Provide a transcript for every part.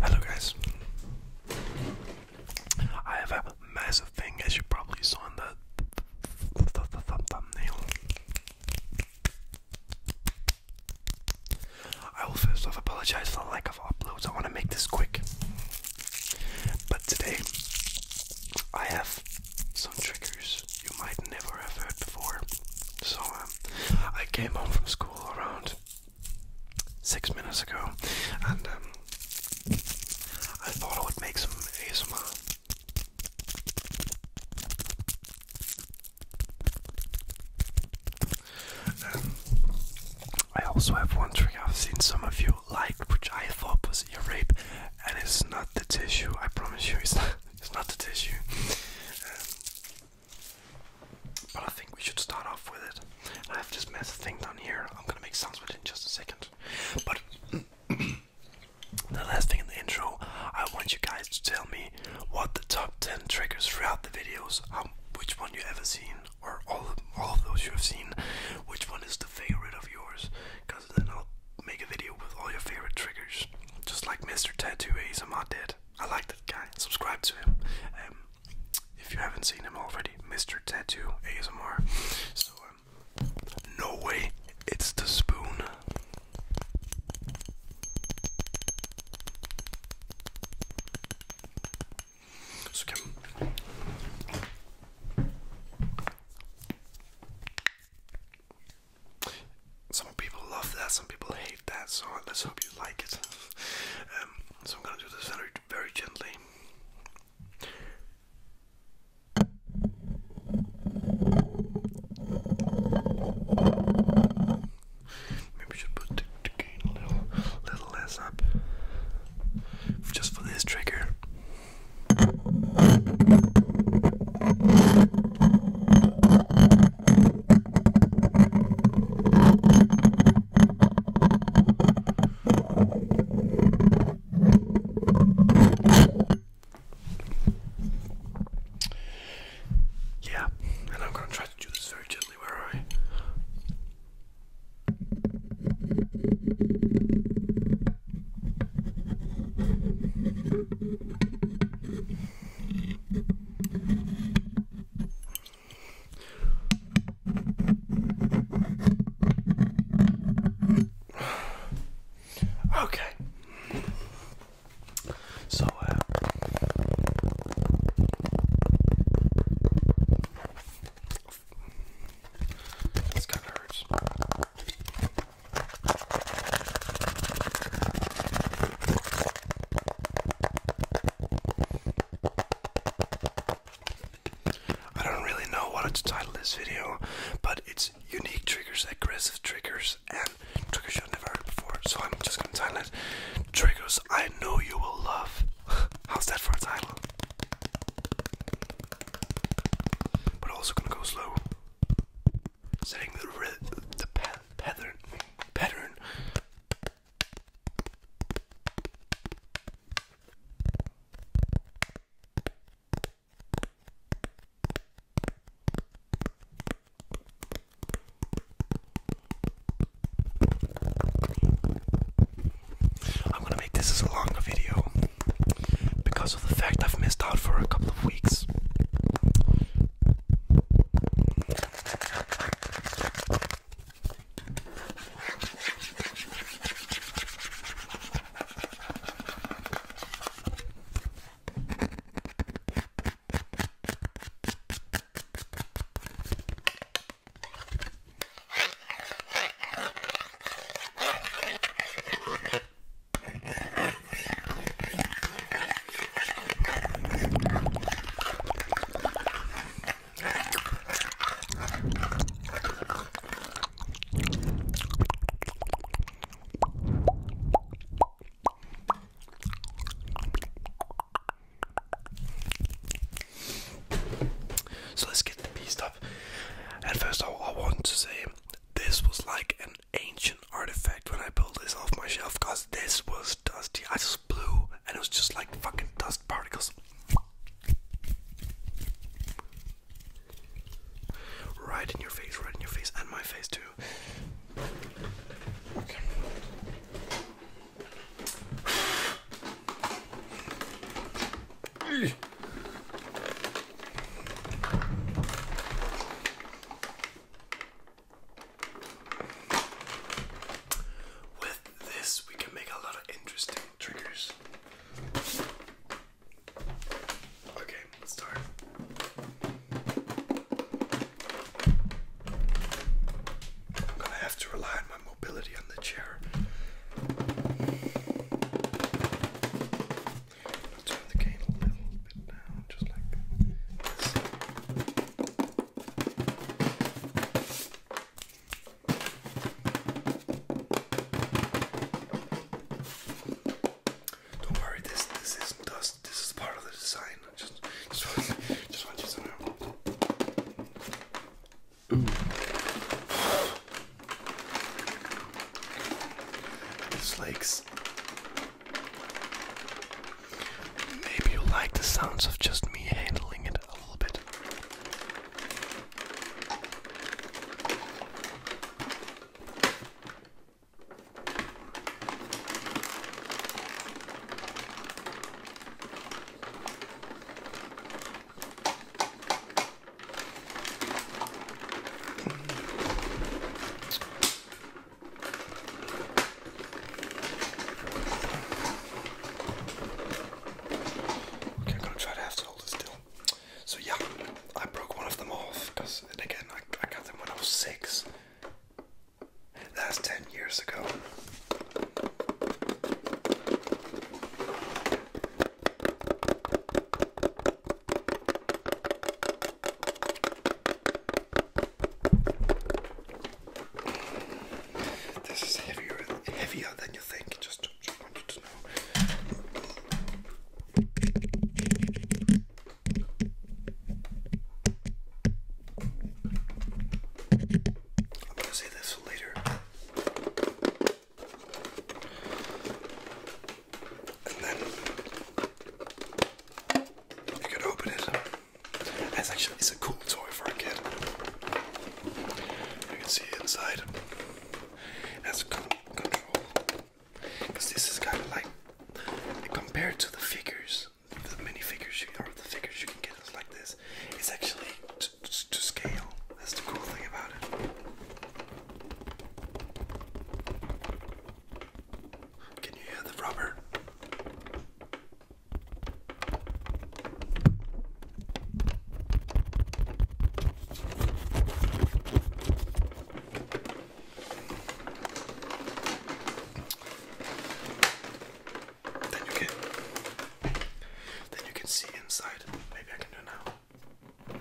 Hello guys. I have a massive thing as you probably saw in the thumbnail. I will first off apologize for the lack of uploads. I want to make this quick. But today I have some triggers you might never have heard before. So um, I came home from school around six minutes ago, and um, I thought I would make some ASMR. Um, I also have one trick I've seen some of you like, which I thought was ear rape, and it's not the tissue. I promise you, it's not. It's not the tissue. Um, but I think we should start off with it. I have this mess thing down here. I'm gonna make sounds with it in just a second. But the last thing in the intro, I want you guys to tell me what the top 10 triggers throughout the videos, um, which one you ever seen, or all of, all those you have seen, which one is the favorite of yours, because then I'll make a video with all your favorite triggers. Just like Mr. Tattoo ASMR did. I like that guy. Subscribe to him. Um, if you haven't seen him already, Mr. Tattoo ASMR. So, um, no way, it's the spoon. Så kan some people love that, some people hate that, so let's hope you like it. Um, so I'm gonna do this very, gently. Maybe we should put the gain a little, little less up, just for this trigger. Yeah, and I'm going to try to do this very gently, where are I? Okay. So, uh, kind of hurts. I don't really know what to title this video, but it's unique triggers, aggressive triggers, and triggers you've never heard before. So I'm just gonna title it Triggers I Know You Will Love. How's that for a title? But also gonna go slow setting the the pattern pattern. I'm gonna make this as long a video because of the fact I've missed out for a couple of weeks. So let's get the beast up. And first, all I want to say this was like an ancient artifact when I pulled this off my shelf because this was dusty. I just blew and it was just like fucking dust particles. Right in your face, right in your face, and my face too. With this, we can make a lot of interesting triggers. Okay, start. I'm gonna have to rely on my mobility on the chair turn the cane a little bit down, just like this. Don't worry, this this is dust. This is part of the design. I just just want, just want you to know. Slakes. Maybe you like the sounds of just me handling it a little bit. Okay, I'm gonna try to have to hold still. So yeah, I broke one of them off because again I, I got them when I was six. That's ten years ago. This is heavier, heavier than you think. Just, just want you to know. I'm gonna say this later. And then you could open it. It's actually it's a cool toy for a kid. You can see inside. It has con control. Because this is kind of like compared to the figures, the mini figures you or the figures you can get like this. It's actually to, to, scale. That's the cool thing about it. Can you hear the rubber? Then you can then you can see inside. Maybe I can do it now. You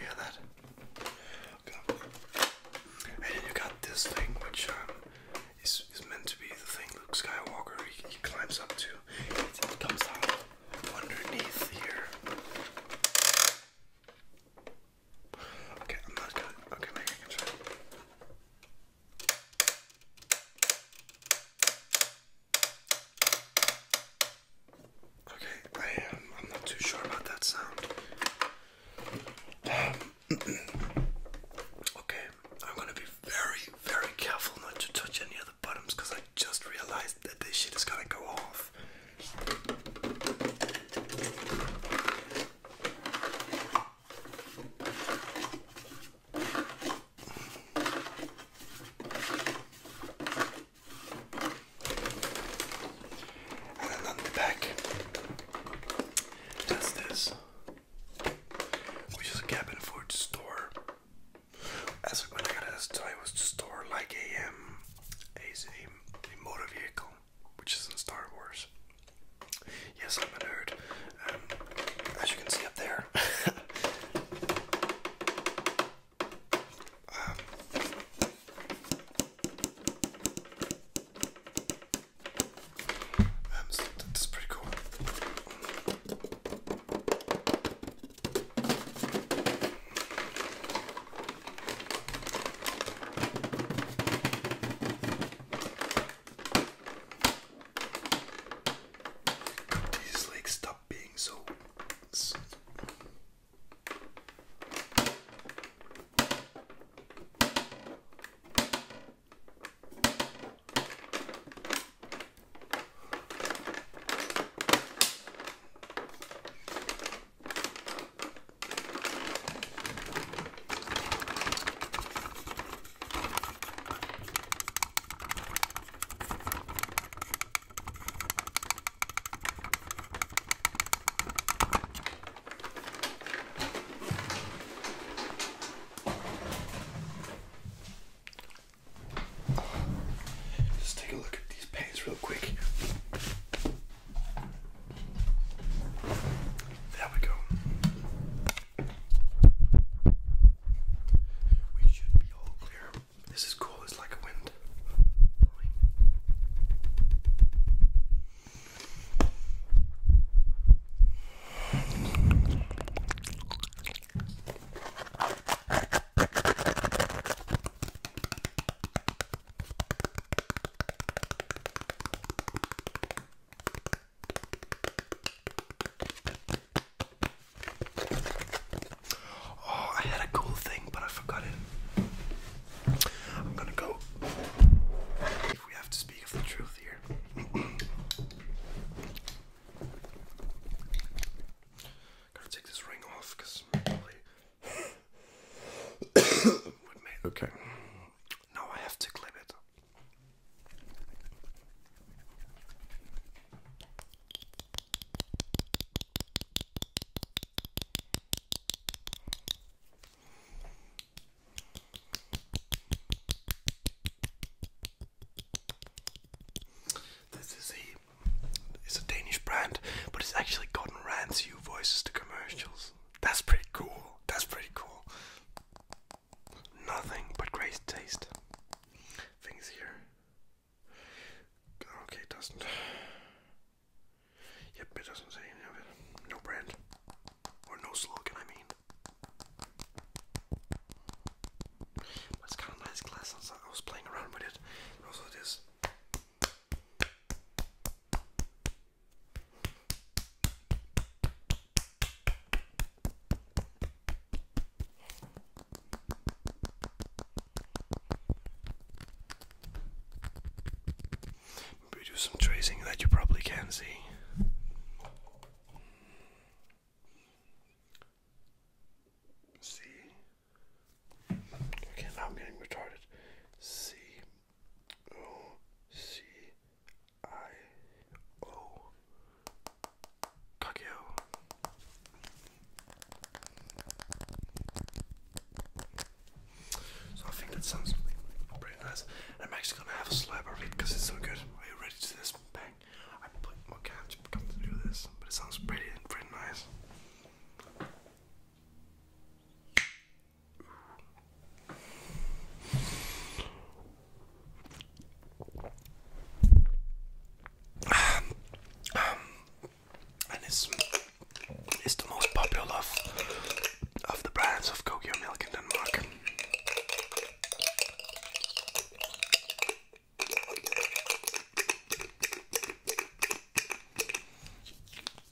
hear that? And you got this thing, which um, is, is meant to be the thing Luke Skywalker he, he climbs up to. It, comes out underneath here. Okay, I'm not going Okay, maybe I can try. Okay, I am. I'm not too sure about that sound. Um, okay, I'm gonna be very, very careful not to touch any of the because I just realized that this shit is gonna go off. And then on the back, that's this, which is a cabin food store. As when I got it, was to store like um, a motor vehicle, which is in Star Wars. Yes, I'm a nerd. Um, as you can see up there, um, um, that's pretty cool. Could these legs stop being so, so Let's take a look at these paints real quick. There we go. We should be all clear. This is cool, it's like a wind. Oh, I had a cool thing, but I forgot it. I'm gonna go. If we have to speak of the truth here, gotta take this ring off because probably would Okay, now I have to clip it. This is a it's a Danish brand, but it's actually gotten Rand's voices to commercials. That's pretty cool. That's pretty cool. Nothing but great taste. Things here. Okay, it doesn't. Yep, it doesn't say any of it. No brand. Or no slogan, I mean. But it's kind of nice glass. I was playing around with it. Also, this. Maybe do some tracing that you probably can see. See? Okay, I'm getting retarded. C O C I O Kakio. So I think that sounds pretty nice. And I'm actually gonna have a slab of it because it's so good. Are you ready to this? Bang! I put more okay, time to going to do this, but it sounds pretty and pretty nice. Um, and it's it's the most popular of the brands of Kogyo milk in Denmark.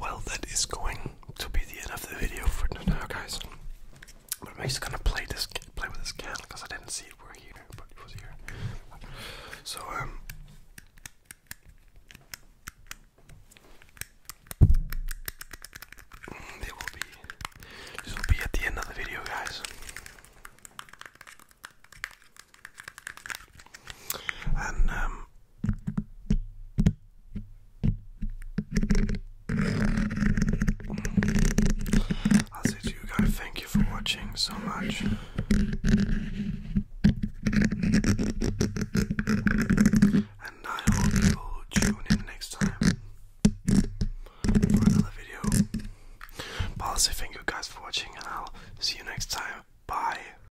Well, that is going to be the end of the video for now, guys. But I'm just gonna play this, play with this candle because I didn't see it. We're here, but it was here. So um. Mm, they will be. This will be at the end of the video, guys. And um, I'll guys, thank you for watching so much. And I hope you'll tune in next time for another video. But thank you guys for watching, and I'll see you next time. Bye.